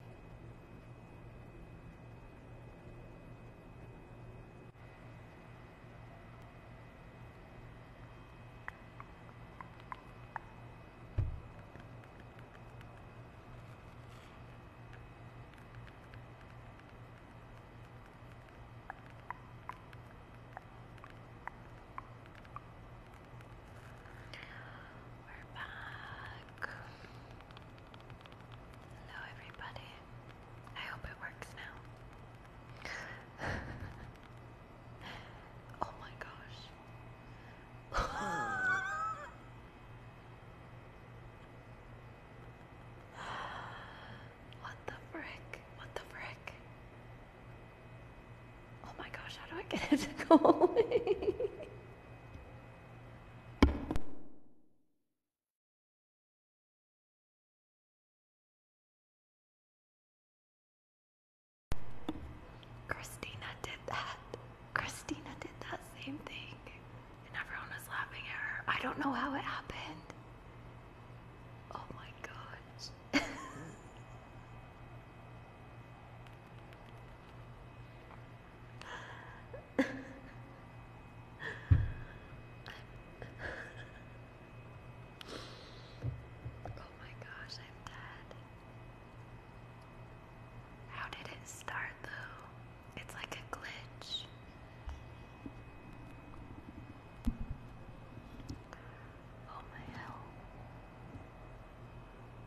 We're back. Hello, everybody. I hope it works now. oh my gosh. what the frick? What the frick? Oh my gosh, how do I get it to go away? Christina did that. Christina did that same thing. And everyone was laughing at her. I don't know how it happened. Oh my gosh. oh my gosh, I'm dead. How did it start though? It's like a glitch. Oh my hell.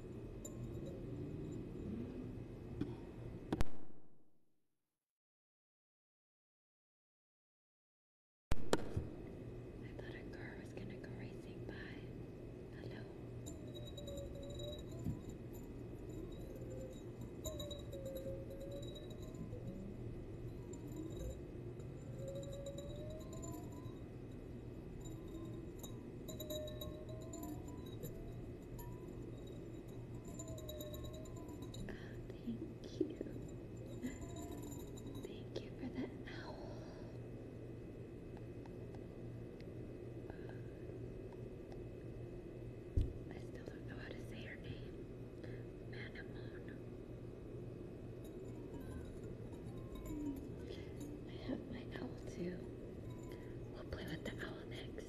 I thought a car was going to go racing by. Hello. Thank you. Thank you for that owl. I still don't know how to say her name. Manamon. I have my owl too. We'll play with the owl next.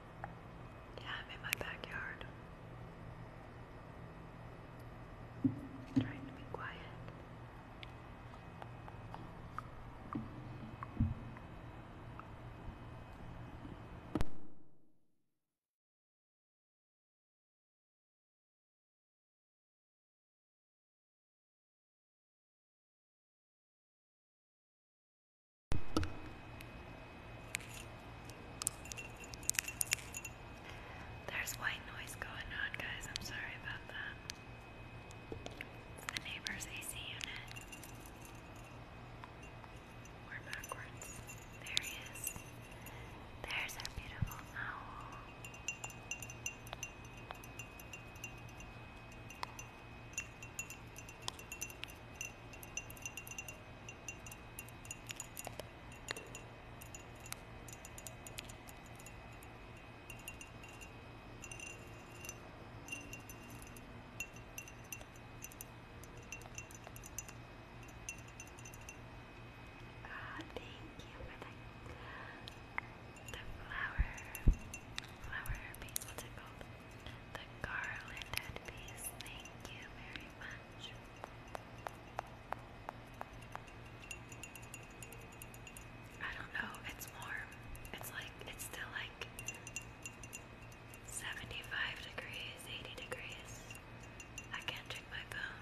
Yeah, I'm in my backyard. trying to be quiet. There's white noise going on, guys. I'm sorry about that. the neighbor's AC unit. We're backwards. There he is. There's our beautiful owl. Ah, thank you for the the flower, flower The garlanded piece. Thank you very much. I don't know, it's warm. It's like, it's still like 75 degrees, 80 degrees. I can't check my phone.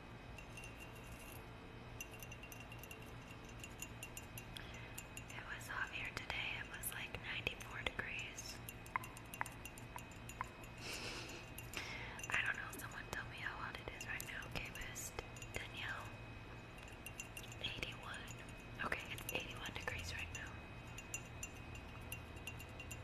It was hot here today, it was like 94 degrees. I don't know, someone tell me how hot it is right now. Okay, Best. Danielle. 81. Okay, it's 81 degrees right now.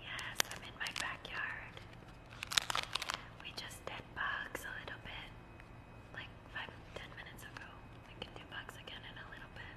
Yes, I'm in my backyard. We just did bugs a little bit, like five, ten minutes ago. We can do bugs again in a little bit.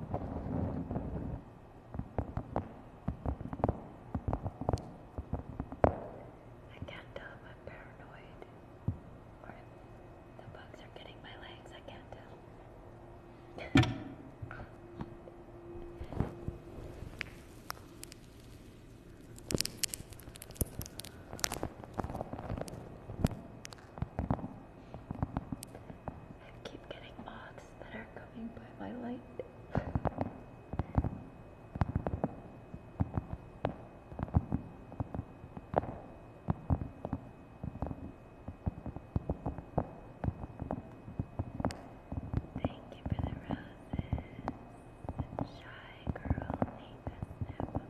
I can't tell if I'm paranoid or if the bugs are getting my legs. I can't tell. I keep getting odds that are coming by my light. Thank you for the roses. Shy girl, Nathan Navagar.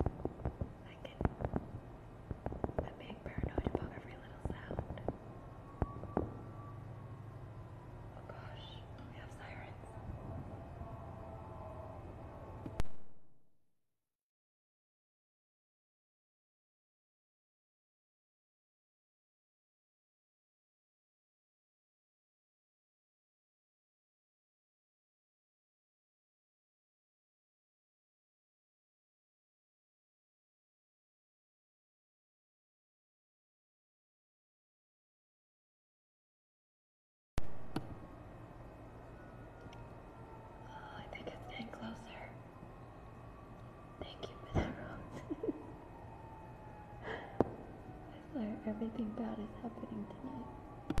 I can. I'm being paranoid about every little sound. Oh gosh, we have sirens. Oh, I think it's getting closer. Thank you for that rose. I swear everything bad is happening tonight.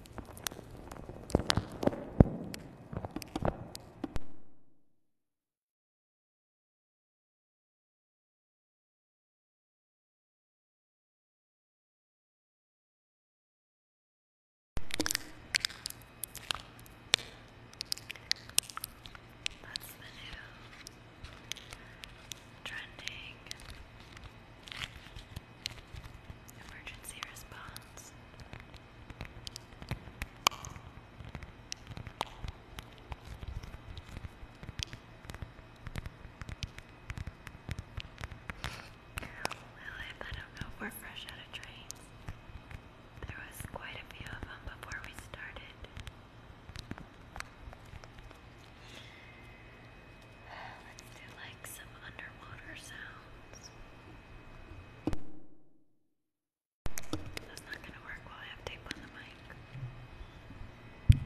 That's the new trending emergency response. Lilith, I don't know we're fresh out of trains. There was quite a few of them before we started. Let's do like some underwater sounds. That's not going to work while I have tape on the mic. Okay.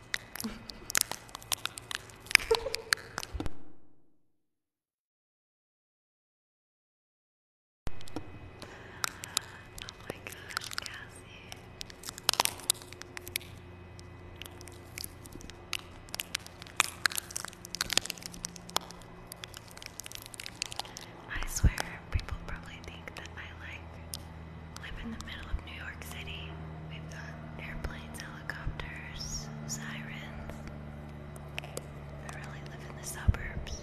oh my gosh, Cassie. I swear people probably think that I like live in the middle of New York City. We've got airplanes, helicopters, sirens. I really live in the suburbs.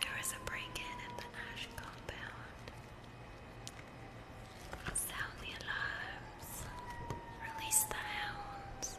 There is a break-in at the Ash compound. Sound the alarms. Release the hounds.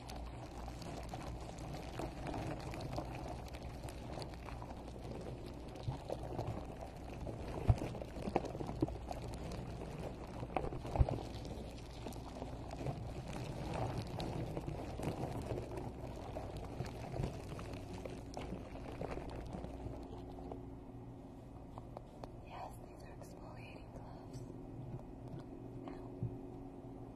Yes, these are exfoliating gloves. Ow.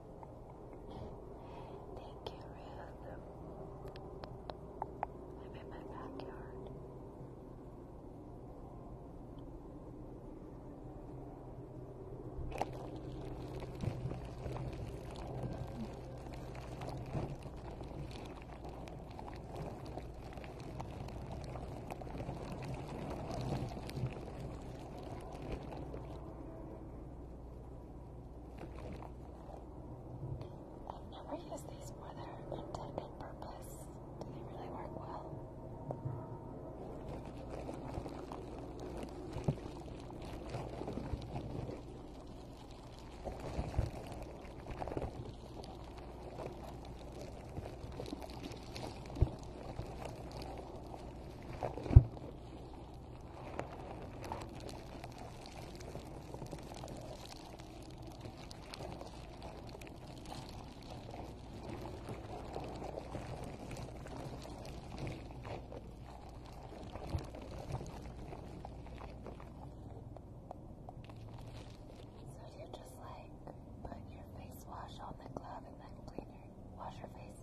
Thank you, Ruth. I'm in my backyard. I've never used these for their intended purpose. Do they really work well? So you just like put your face wash on the glove and then cleaner. Wash your face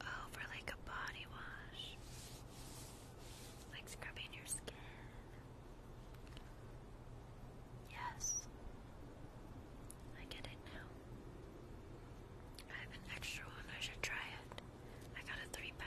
Oh, for like a body wash, like scrubbing your skin. Yes. I get it now. I have an extra one, I should try it. I got a three pack.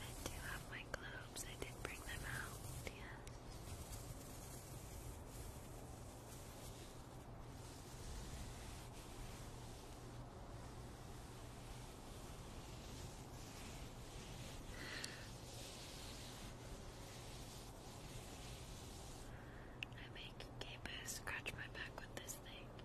I do have my globes. I did bring them out, I make Gabu scratch my back with this thing.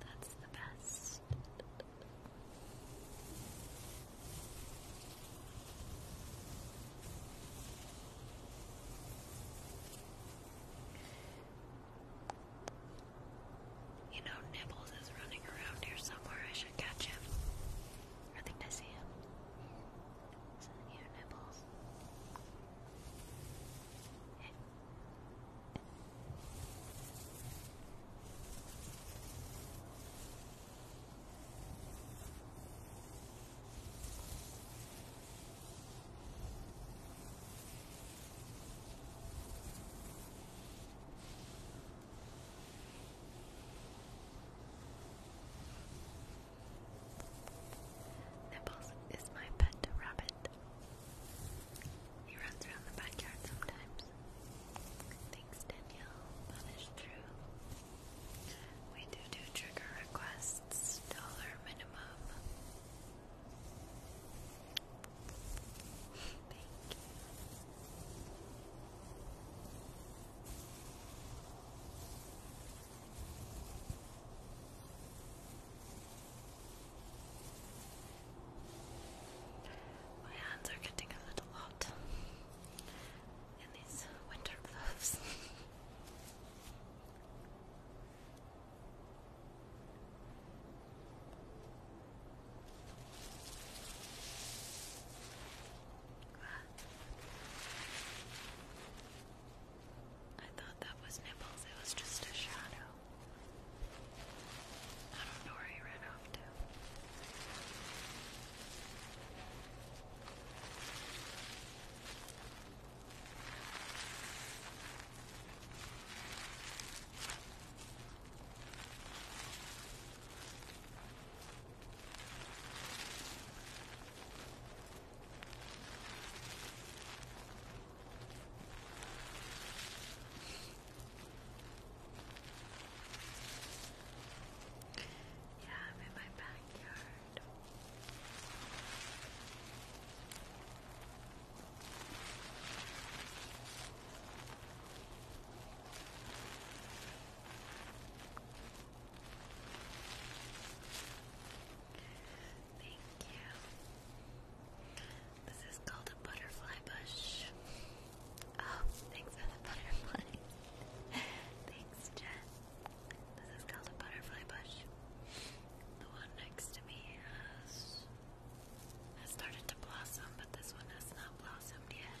That's the best. You know, Nibbles is running around here somewhere. I should catch him. I think I see him. Is it you, Nibbles? Nibbles is my pet rabbit. He runs around the backyard sometimes. Thanks, Danielle. Punish through. We do do trigger requests, dollar minimum. Thank you. My hands are getting a little hot in these winter gloves. I thought that was nipples, it was just a shadow. I don't know where he ran off to. Yeah, in my backyard. Thank you. This is called a butterfly bush. Oh, thanks butterfly. thanks, Jen. This is called a butterfly bush. The one next to me has has started to blossom, but this one has not blossomed yet.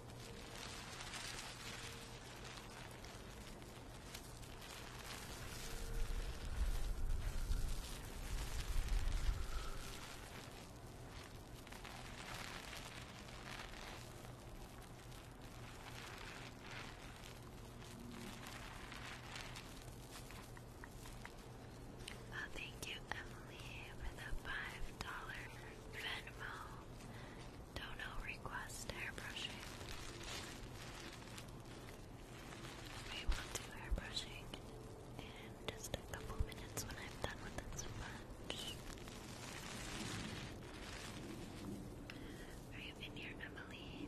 Well, thank you, Emily, for the $5 Venmo. Dono request airbrushing. We will do airbrushing in just a couple minutes when I'm done with this sponge. Are you in here, Emily?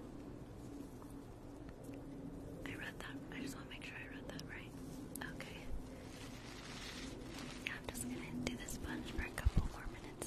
I read that. I just want to make sure I read that right. Okay. Yeah, I'm just gonna do this sponge for a couple more minutes.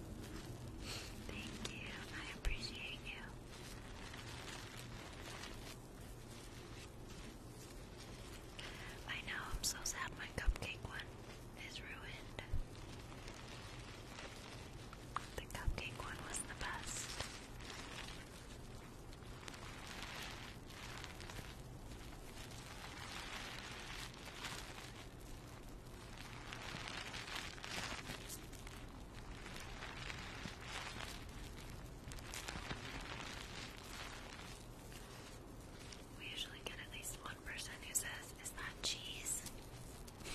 Thank you. I appreciate you. I know, I'm so sad my cupcake one is ruined. The cupcake one was the best. We usually get at least one person who says, Is that cheese?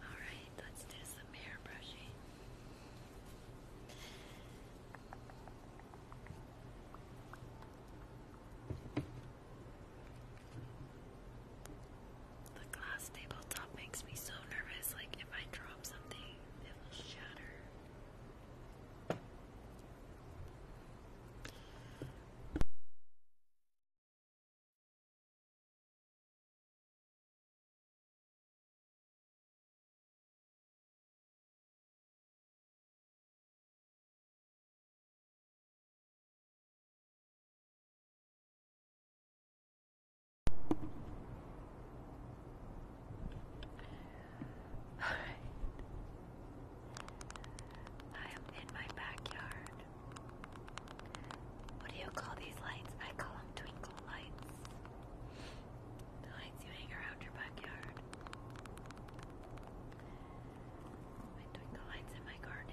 Alright, let's do some hair brushing. The glass tabletop makes me so nervous, like if I drop something, it will shatter. I am in my backyard. What do you call these lights? I call them twinkle lights the lights you hang around your backyard. I'm lights in my garden.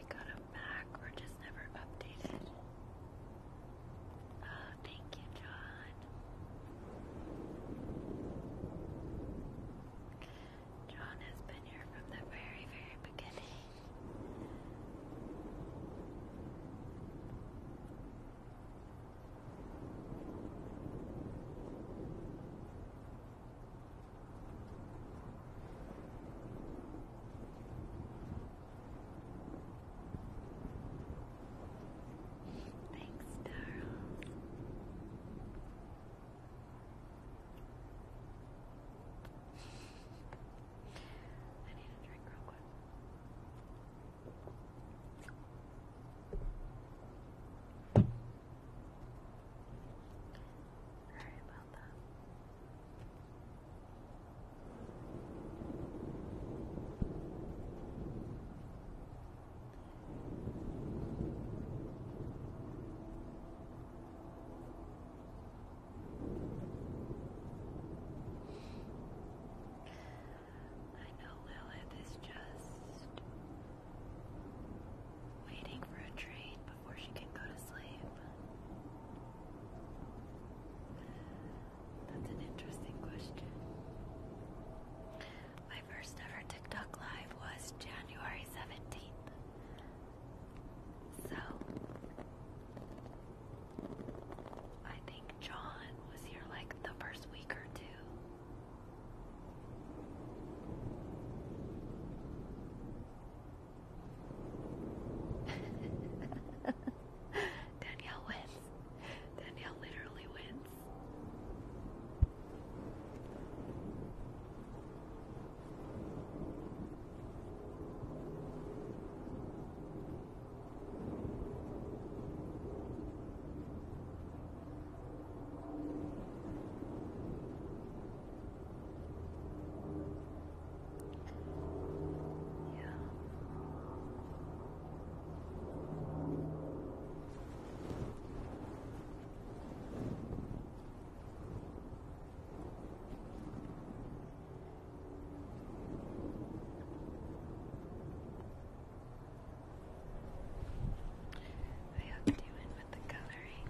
they got them back or just never updated. Oh, thank you, John. John has been here from the very, very beginning. Thanks, Darrell. I need a drink real quick. Sorry about I know Lilith is just waiting for a train, before she can go to sleep. That's an interesting question. My first ever TikTok live was January 17th. So, I think John was here like the first week or two. Danielle wins. Danielle literally wins. Yeah. I hope you with the coloring.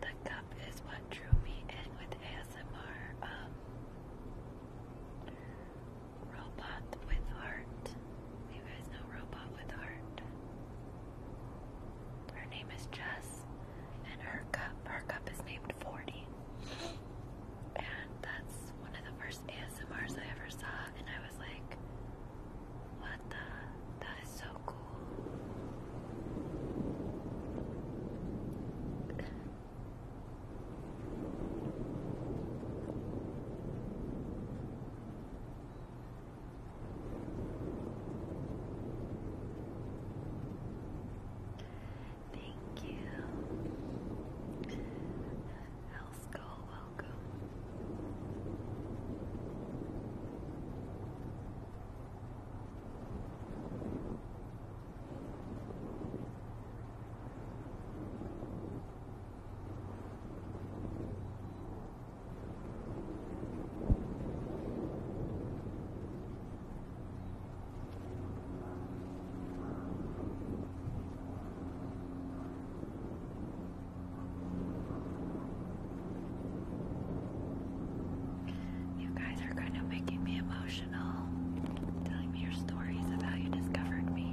The cup is what drew me in with ASMR. Um, Robot with Heart. You guys know Robot with Heart. Her name is Jess, and her cup, her cup is named 40 and that's one of the first ASMRs I ever saw, and I was like, what the? That is so cool. Thank you. Hell's Skull, welcome. You guys are kind of making me emotional, telling me your stories of you discovered me.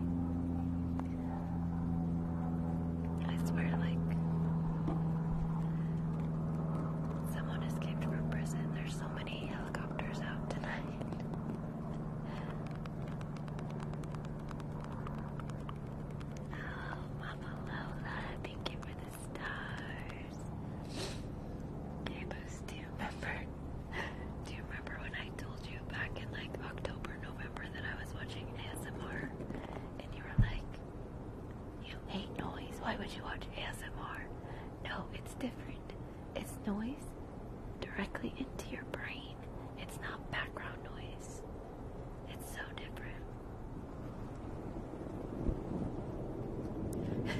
I swear, like, someone escaped from prison. There's so many helicopters out tonight. Oh, Mama Lola, thank you for the stars. do you remember? Do you remember when I told you back in like October, November that I was watching ASMR? And you were like, you hate noise. Why would you watch ASMR? No, it's different. It's noise directly into your brain. It's not background noise. It's so different.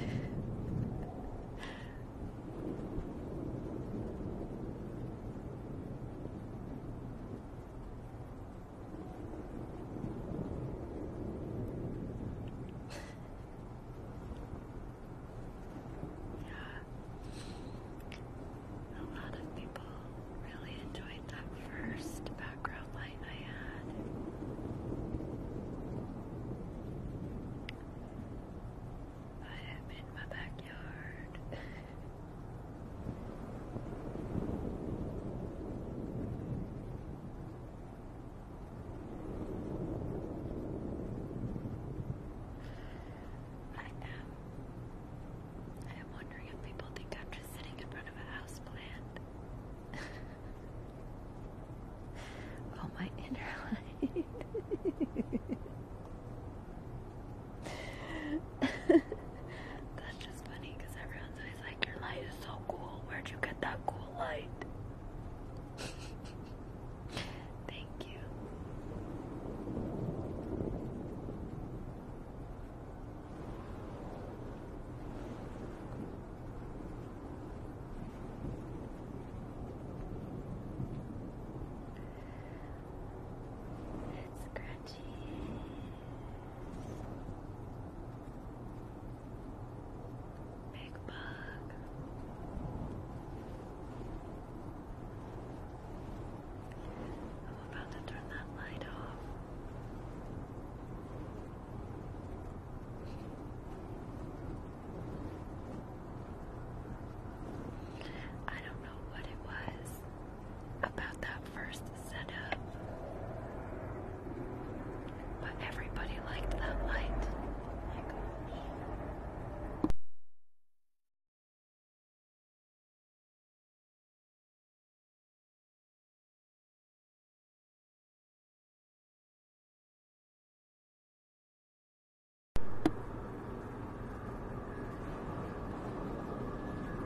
Yeah. A lot of people really enjoyed that first background light I had. I am in my backyard. I am. I am wondering if people think I'm just sitting in front of a house plant. oh, my inner light. That's just funny because everyone's always like, Your light is so cool. Where'd you get that cool light? Thank you. Scratchy. Big bug. I'm about to turn that light off. I don't know what it was about that first setup, but everybody liked that light. Oh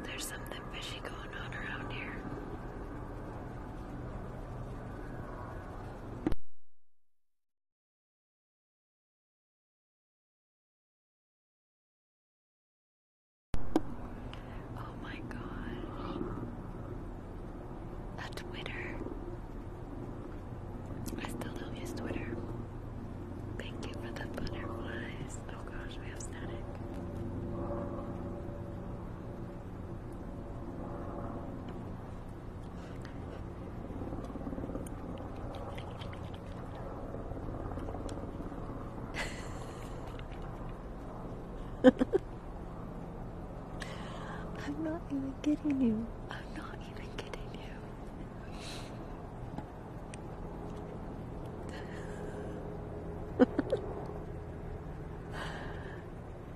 there's something fishy going on around here. Oh my gosh. A Twitter. I still don't use Twitter. Thank you for the butterflies. Oh gosh, we have static. I'm not even kidding you. I'm not even kidding you.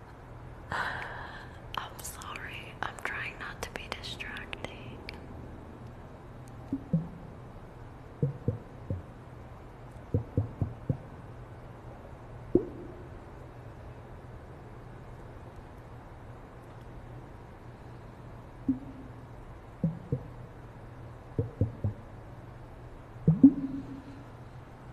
I'm sorry, I'm trying not to be distracting.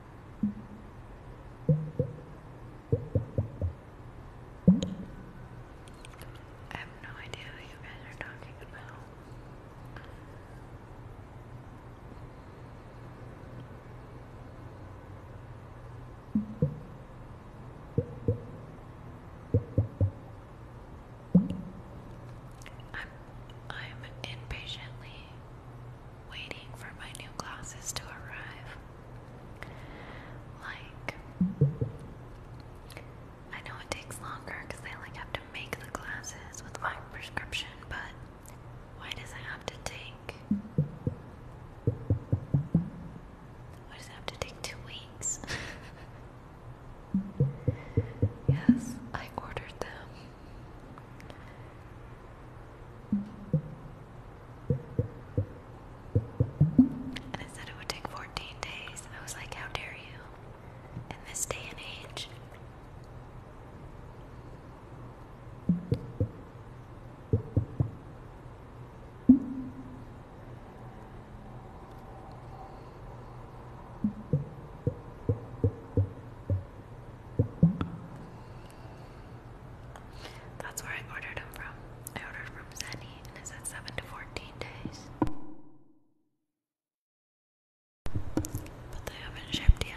I have no idea what you guys are talking about. I'm I'm impatiently waiting for my new glasses to arrive. Like, I know it takes longer because they like have to make the glasses with my prescription, but why does it have to take? Why does it have to take two weeks? yes, I ordered them and it said it would take 14 days. I was like, how dare you? In this day and age. That's where I ordered them from. I ordered from Zenny and it said 7 to 14 days. But they haven't shipped yet.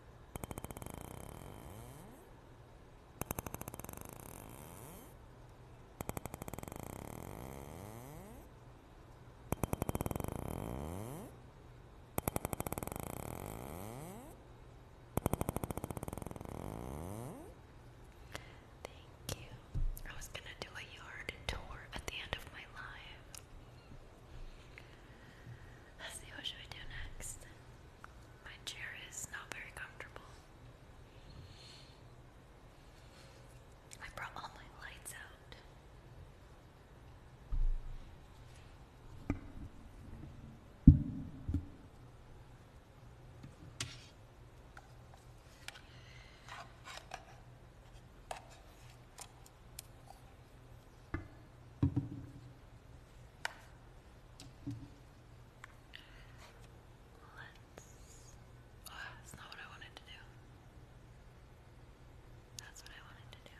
Thank you. I was gonna do a yard tour at the end of my live. Let's see what should we do next. My chair is not very comfortable. I brought all my lights out. Let's. Oh, that's not what I wanted to do. That's what I wanted to do.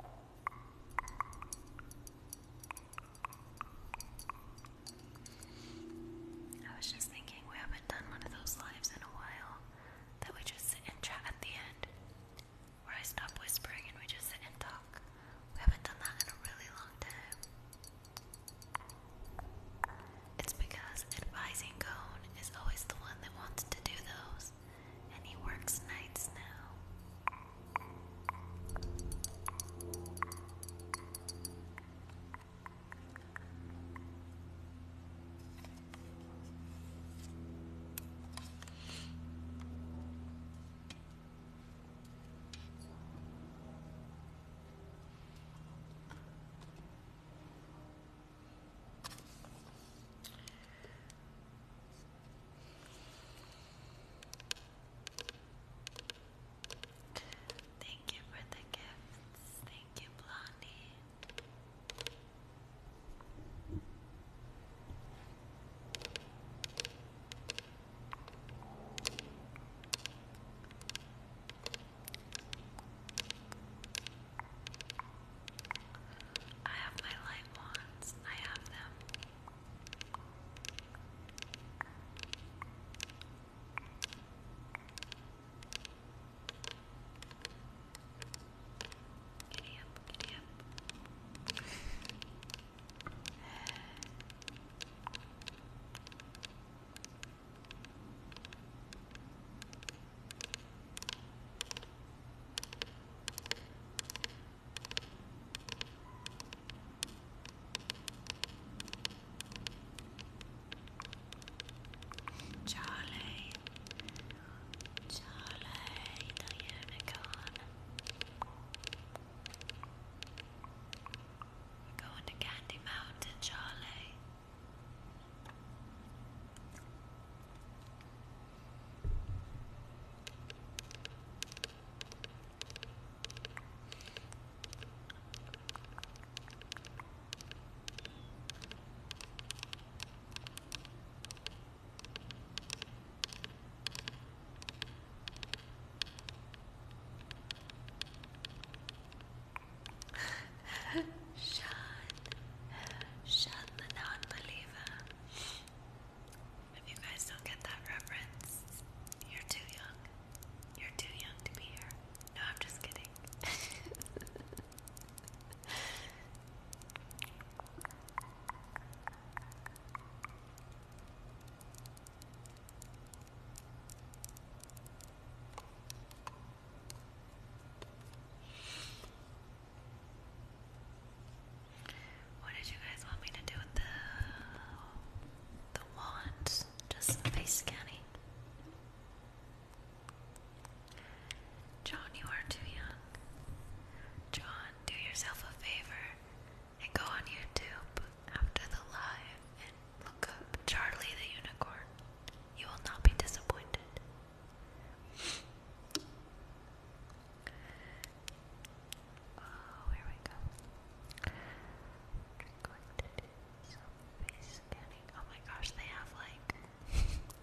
I was just thinking we haven't done one of those lives in a while that we just sit and chat at the end where I stop whispering and we just sit and talk. We haven't done that in a really long time. It's because advising Cone is always the one that wants to do those and he works nights now. Thank you for the gifts. Thank you, Blondie. I have my light wands. I have them. Giddy up, giddy up. Charlie, Charlie, the unicorn. We're going to Candy Mountain, Charlie. Sean, Sean the non-believer. If you guys don't get that reference, you're too young. You're too young to be here. No, I'm just kidding. What did you guys want me to do with the the wand? Just face scanning. John, you are too young. John, do yourself a favor and go on YouTube after the live and look up Charlie the Unicorn. You will not be disappointed. Oh, here we go. Oh my gosh, they have like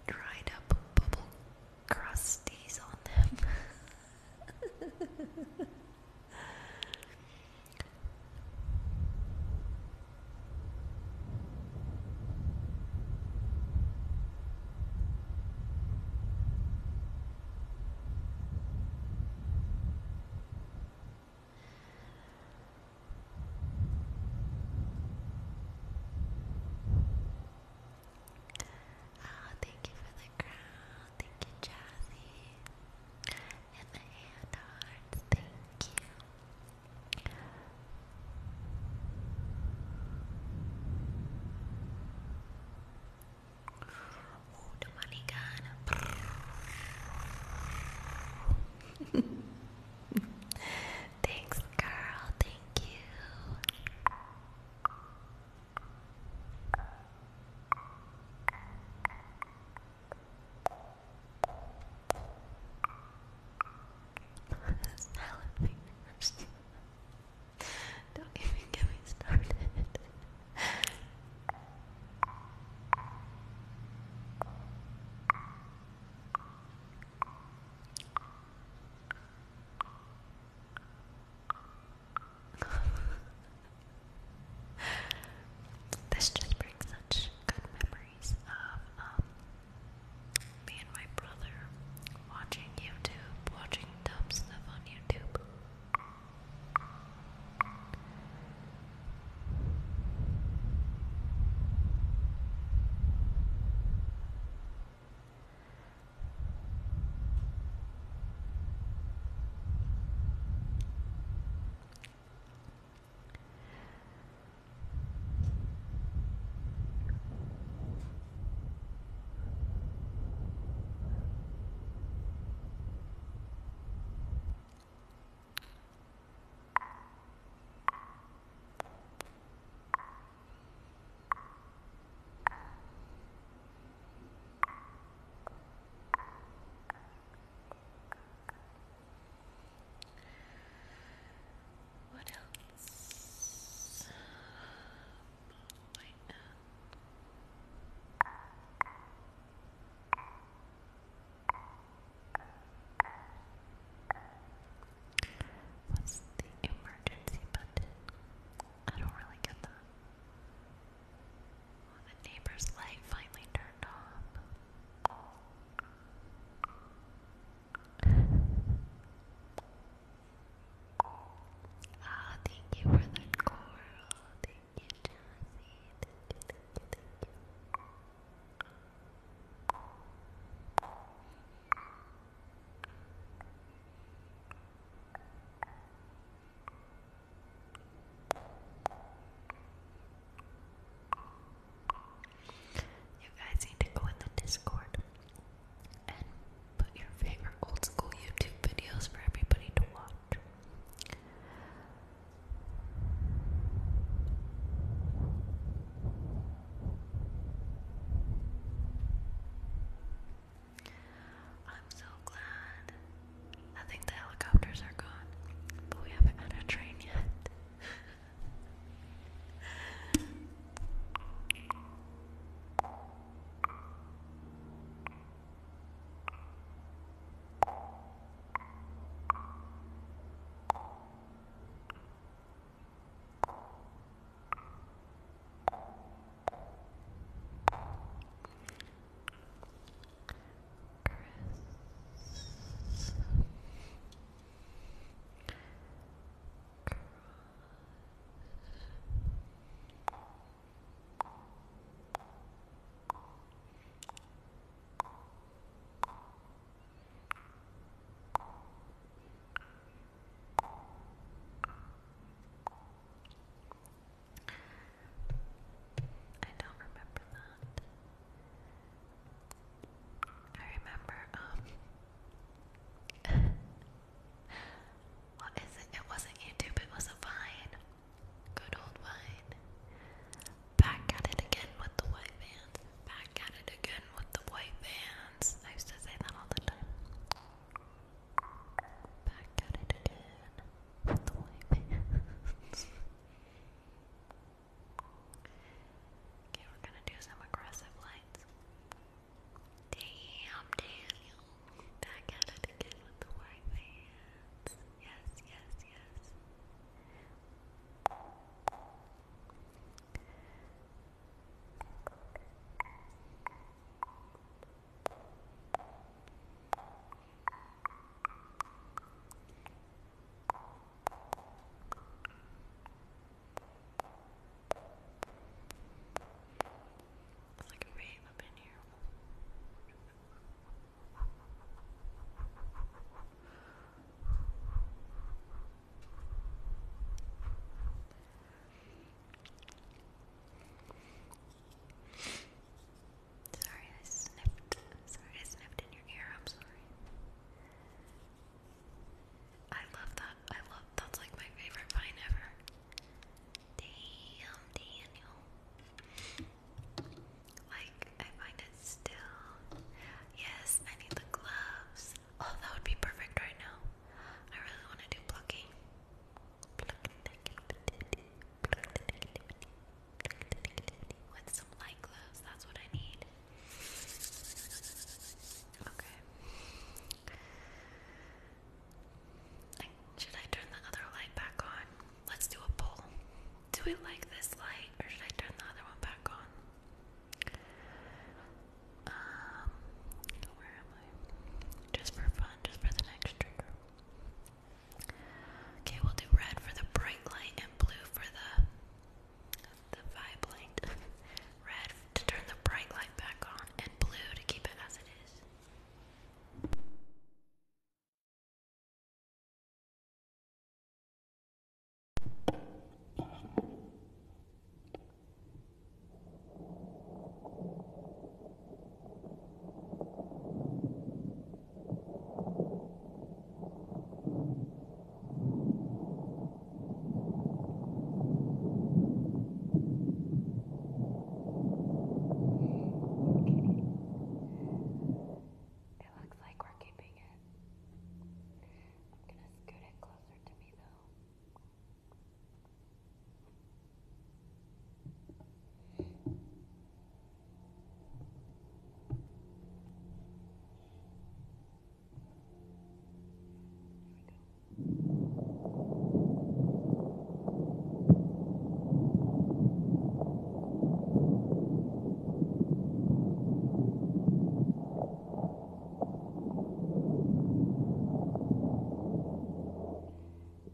dried up bubble crusties on them. Oh, thank you for the crown. Thank you, Jazzy. And the hand hearts. Thank you. Ooh, the money gun. Thanks, girl. Thank you. Don't even get me started. this just brings such good memories of um, me and my brother watching YouTube, watching dumb stuff on YouTube. What else? What's the emergency button? I don't really get that. Oh, the neighbor's light finally turned off. Oh, thank you for the coral. Thank you, Jazzy. Thank you, thank you, thank you. You guys need to go in the Discord and put your favorite old school YouTube videos for everybody to watch. I'm so glad. I think the helicopters are gone, but we haven't had a train yet. Chris. Chris. I don't remember that. I remember um, what is it? It wasn't YouTube, it was a vine. Good old vine. Back at it again with the white vans. Back at it again with the white vans. I used to say that all the time. Back at it again with the white vans. okay, we're gonna do some aggressive lights. Damn, Daniel. Back at it again with the white vans. Yes, yes, yes. It's like Sorry, I sniffed. Sorry, I sniffed in your ear. I'm sorry. I love that. I love that's like my favorite find ever. Damn, Daniel. Like I find it still. Yes, I need the gloves. Oh, that would be perfect right now. I really want to do plucking. With some light gloves, that's what I need. Okay should I turn the other light back on? Let's do a poll. Do we like this light or should I turn the other one back on? Um, where am I? Just for fun, just for the next Okay, we'll do red for the bright light and blue for the the vibe light. red to turn the bright light back on, and blue to keep it as it is. It looks like we're keeping it. I'm gonna scoot it closer to me though. There we go.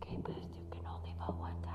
Okay, boost, you can only vote one time.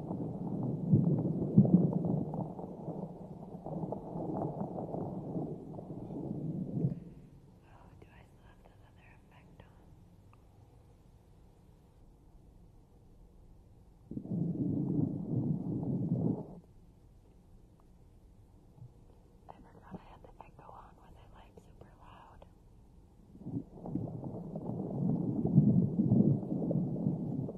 Oh, do I still have that other effect on? I forgot I had the echo on when I like super loud.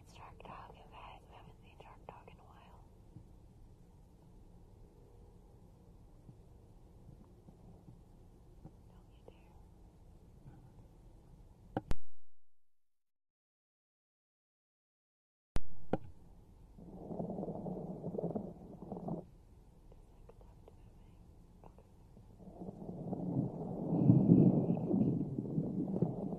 It's Dark Dog, you guys. We haven't seen Dark Dog in a while. Don't you dare. Okay.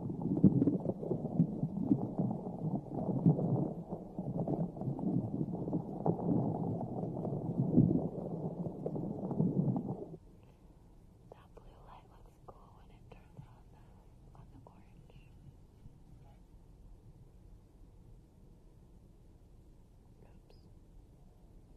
That blue light looks cool when it turns on the on the orange. Oops.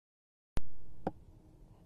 That's our dog. Stop. Stop.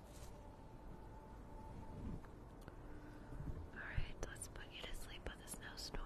Alright, let's put you to sleep with a snowstorm.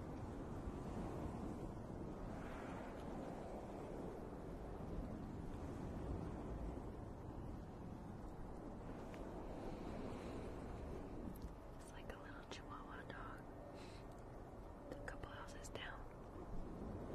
It's like a little chihuahua dog. It's a couple houses down. There's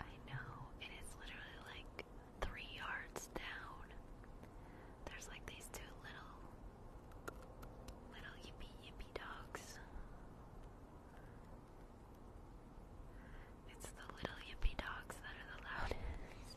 I know it is literally like three yards down. There's like these two little, little yippee yippee dogs. It's the little yippy dogs that are the loudest.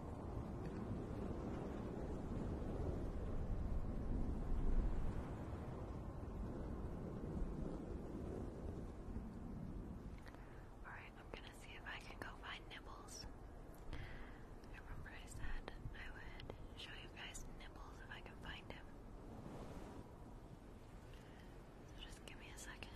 Alright, I'm gonna see if I can go find Nibbles. I remember I said I would show you guys Nibbles if I can find him. So just give me a second.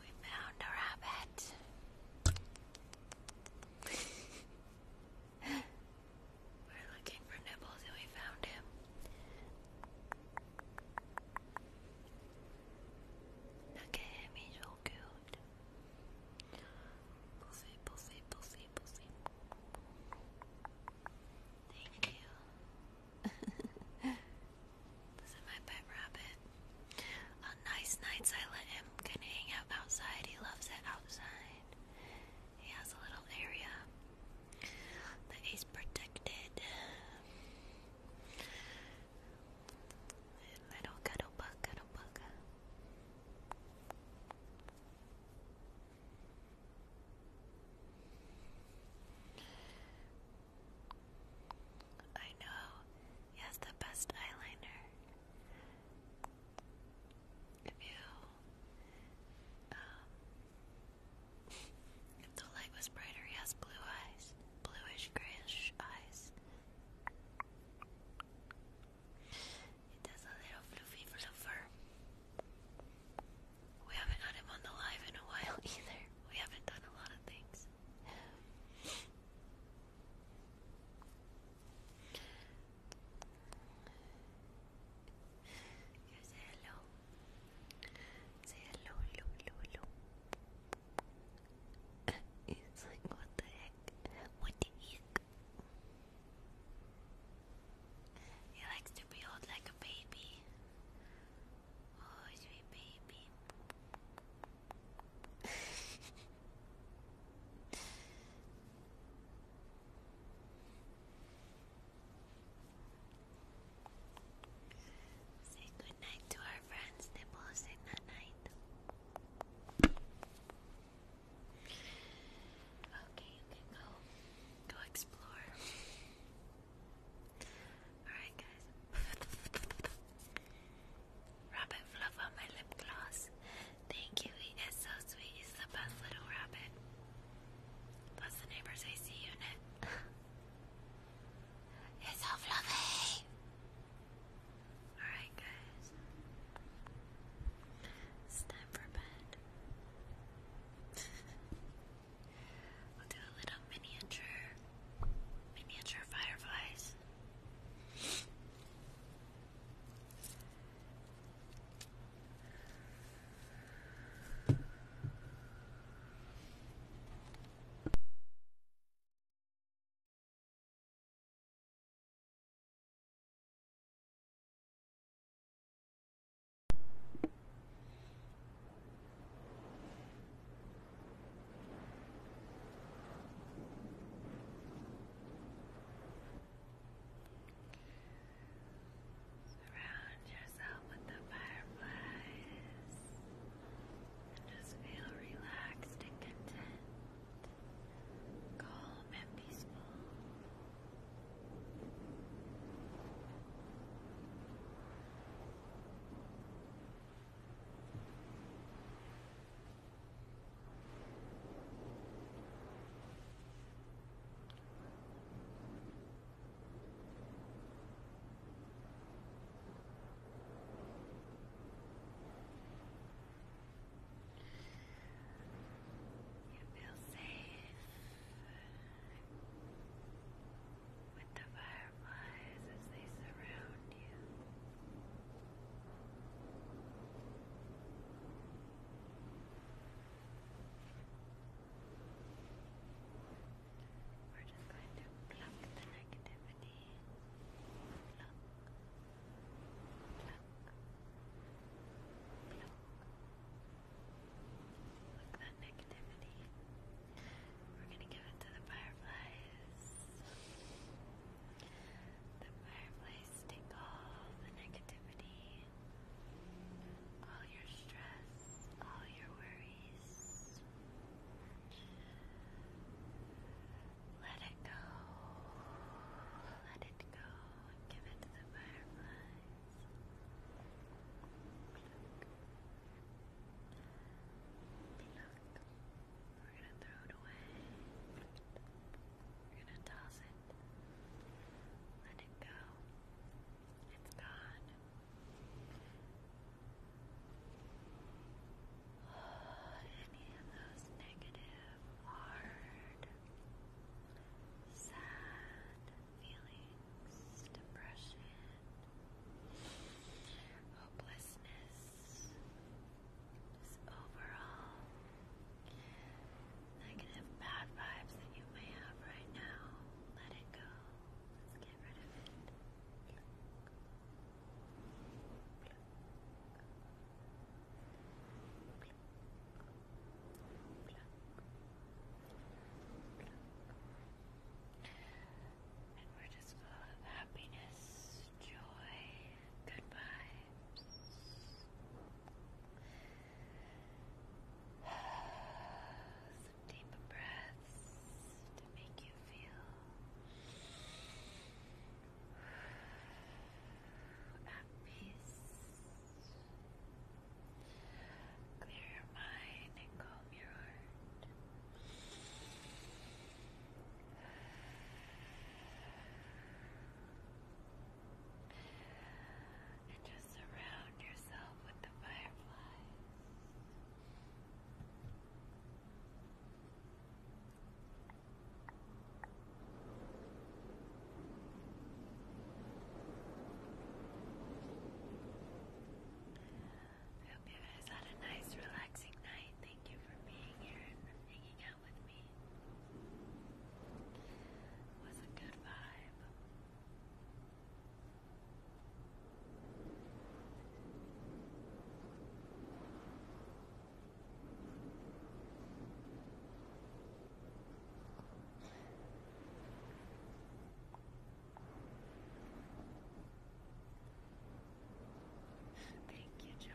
We found a rabbit. We're looking for Nibbles and we found him. Look at him, he's so cute. Pussy, pussy, pussy, pussy. Thank you. this is my pet rabbit. On nice nights, I let him can hang out outside. He loves it outside. He has a little area that he's protected. Little cuddle bug, cuddle bug. I know he has the best eyeliner. If you, um, if the light was brighter, he blue eyes, bluish grayish eyes. It has a little fluffy fluffer. We haven't had him on the live in a while either. We haven't done a lot of things. hello. hello, hello, hello, hello. it's like, what the heck? What the heck? He likes to be old like a baby. Oh, baby. Say good to our friends, Nibbles, and night night. Okay, you can go go explore. Alright guys. rabbit fluff on my lip gloss. Thank you, he is so sweet. He's the best little rabbit. Plus the neighbor's AC unit. it's fluffy. Alright guys. It's time for bed. do a little miniature, miniature fireflies. Surround yourself with the fireflies and just feel relaxed and content, calm and peaceful. You feel safe with the fireflies as they surround you. We're just going to pluck the negativity. Pluck. Pluck. Pluck. Like that negativity. We're gonna give it to the fireflies. The fireflies take all the negativity, all your stress, all your worries. Let it go. Let it go. Give it to the fireflies. We're gonna throw it away. We're gonna toss it. Let it go. It's gone. any of those negative, hard, sad, feelings, depression, hopelessness, just overall negative bad vibes that you may have right now. Let it go. Let's get rid of it. And we're just full of happiness, joy, good Some deep breaths to make you feel at peace. Clear your mind and calm your heart. And just surround yourself with the fireflies. I hope you guys had a nice, relaxing night. Thank you for being here and hanging out with me. was a good vibe. Thank you, John.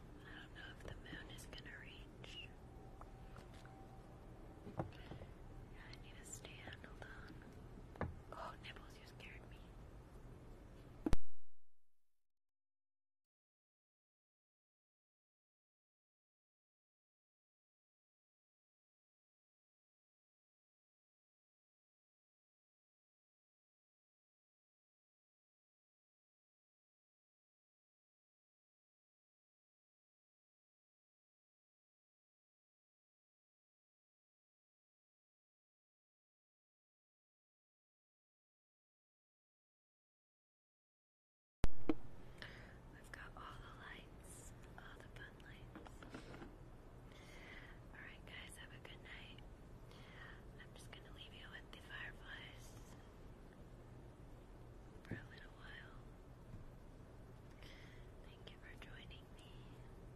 I don't know if the moon is going to reach. I need a stand. Hold on. Oh, nipples because you scared me. We've got all the lights, all the fun lights. Alright, guys, have a good night. I'm just gonna leave you with the fireflies for a little while. Thank you for joining me.